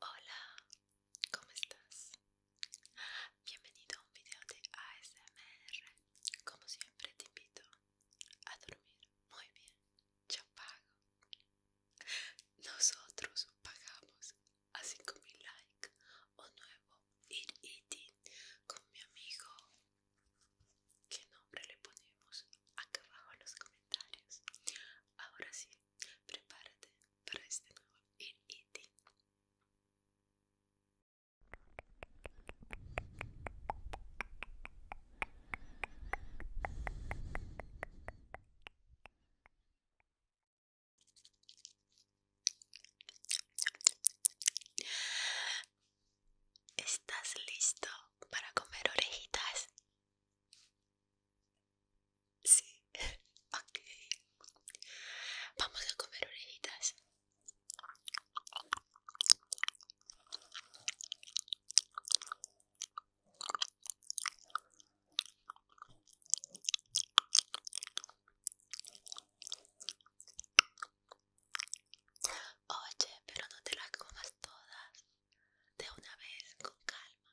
Hola, ¿cómo estás? Bienvenido a un video de ASMR. Como siempre te invito a dormir muy bien. Yo pago. Nosotros pagamos a 5000 likes o nuevo ir eating con mi amigo qué nombre le ponemos acá abajo en los comentarios. Ahora sí, prepárate para este nuevo Eating. ¿Estás listo para comer orejitas? Sí, ok. Vamos a comer orejitas. Oye, pero no te las comas todas de una vez con calma.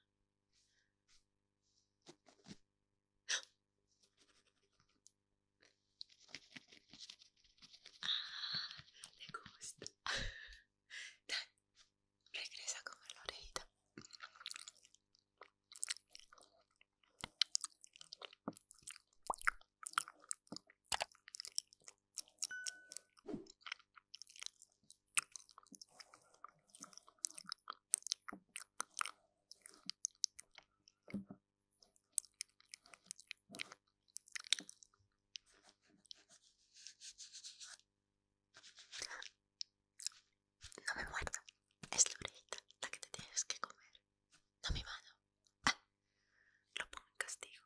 Ah, le gusta. regresa con la orejita. No me muerda es la orejita la que te tienes que comer, no me mano. Ah, lo pongo en castigo.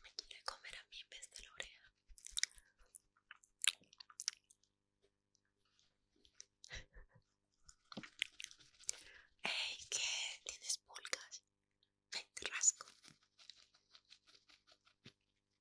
Me quiere comer a mí en vez de la oreja. ¿Qué? ¿Tienes pulgas? Ven, te rasco.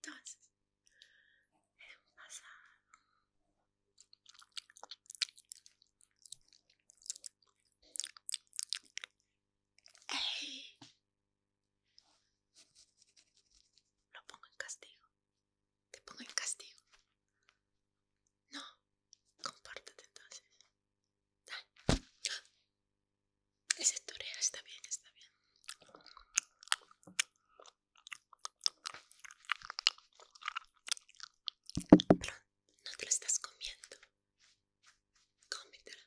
Entonces, es un pasado lo pongo en castigo. Te pongo en castigo. No, compártete entonces. Ese tutorial está bien, está bien no te lo estás comiendo. Cómetela.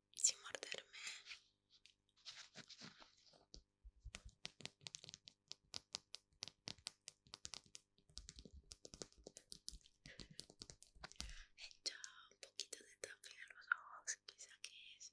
sin morderme. He hecho un poquito de tapping en los ojos, quizá que es.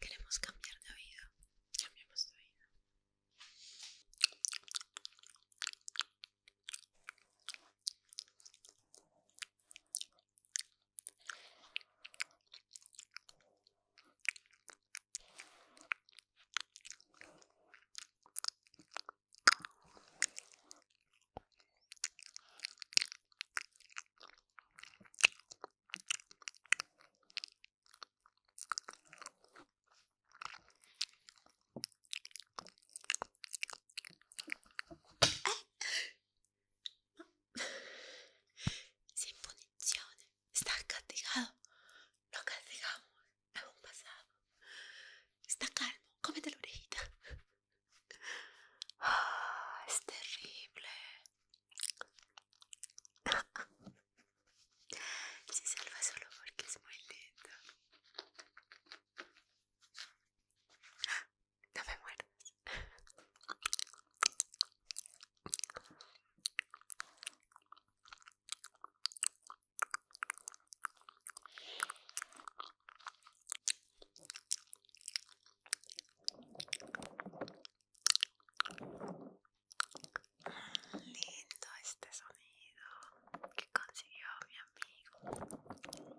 Queremos cambiar de vida, Cambiamos de vida. Sin puniciones estás castigado. Lo castigamos a un pasado. Está calmo, cómete la orejita. Ah, es terrible. Se salva solo porque es muy lindo. No me muerdas. Lindo este sonido que consiguió mi amigo.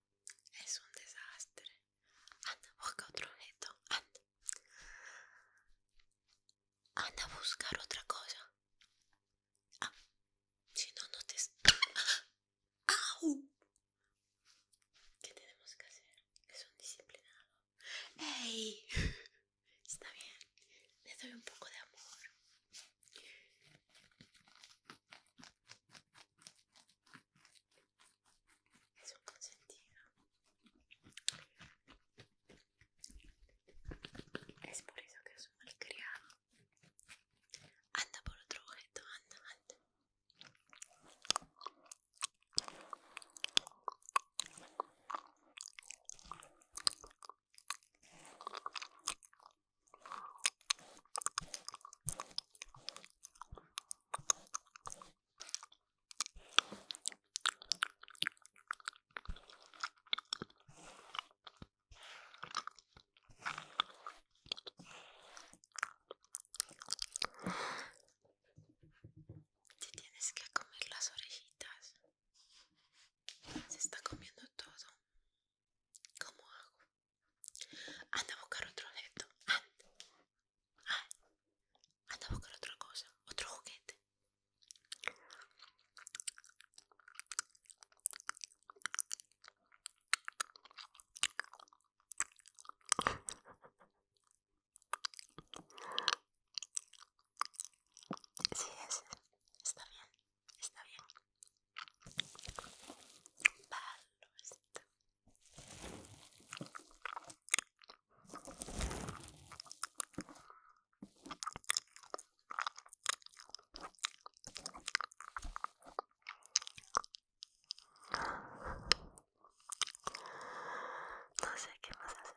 Es un desastre. Anda, busca otro objeto. Anda. Anda a buscar otra cosa. Ah, si no, no te... ¿Qué tenemos que hacer? Es un disciplinado. ¡Ey! Está bien. Le doy un poco de amor es un consentido es por eso que es un malcriado anda por otro objeto anda anda te tienes que comer las orejitas. Se está comiendo todo. ¿Cómo hago? Anda a buscar otro objeto. Ah, anda a buscar otra cosa, otro juguete. Sí, Está bien, está bien. Palo, どうせしけます。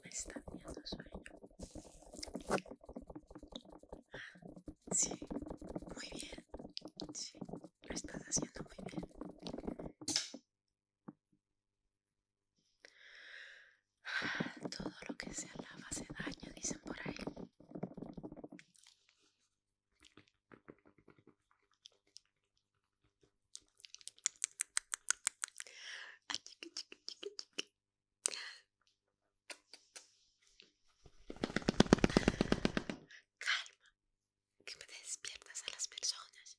Me está haciendo sueño. Ah, sí, muy bien. Sí, lo estás haciendo muy bien. Todo lo que se alaba hace daño, dicen por ahí. Calma, que me despiertas a las personas.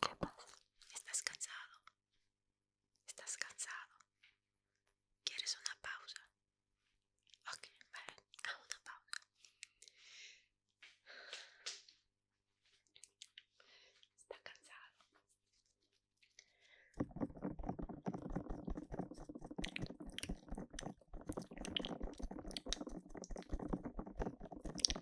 ¿Qué pasa? ¿Estás cansado? ¿Estás cansado? ¿Quieres una pausa? Ok, vale, haz una pausa. Está cansado.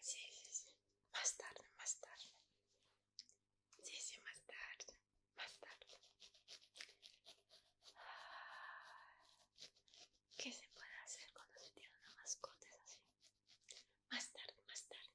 Sí, sí, sí. Más tarde, más tarde. Sí, sí, más tarde. Más tarde. ¿Qué se puede hacer cuando se tiene una mascota así? Más tarde, más tarde.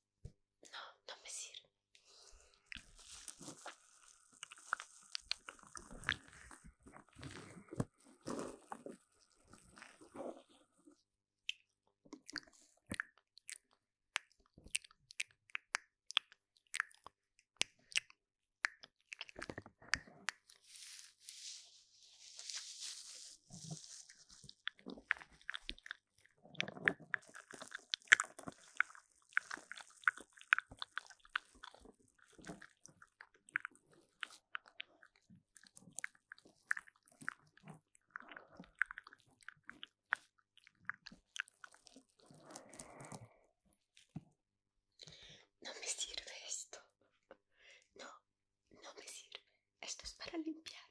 No, no me sirve. No me sirve esto. No, no me sirve. Esto es para limpiar.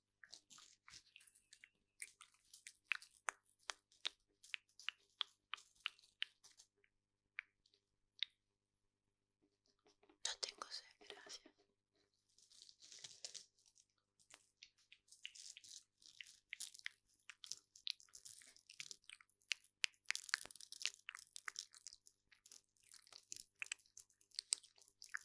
No tengo sed, gracias.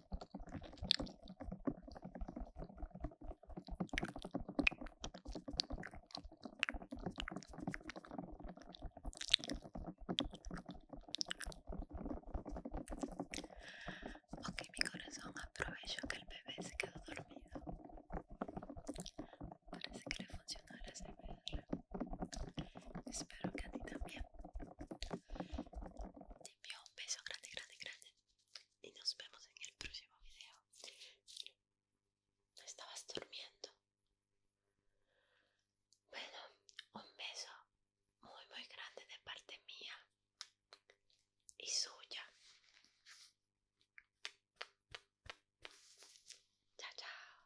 Ok, mi corazón, aprovecho que el bebé se quedó dormido. Parece que le funcionó el CPR. Espero que a ti también. Te envío un beso grande, grande, grande y nos vemos en el próximo video. Estabas durmiendo. Bueno, un beso muy muy grande de parte mía y suya. Chao, chao.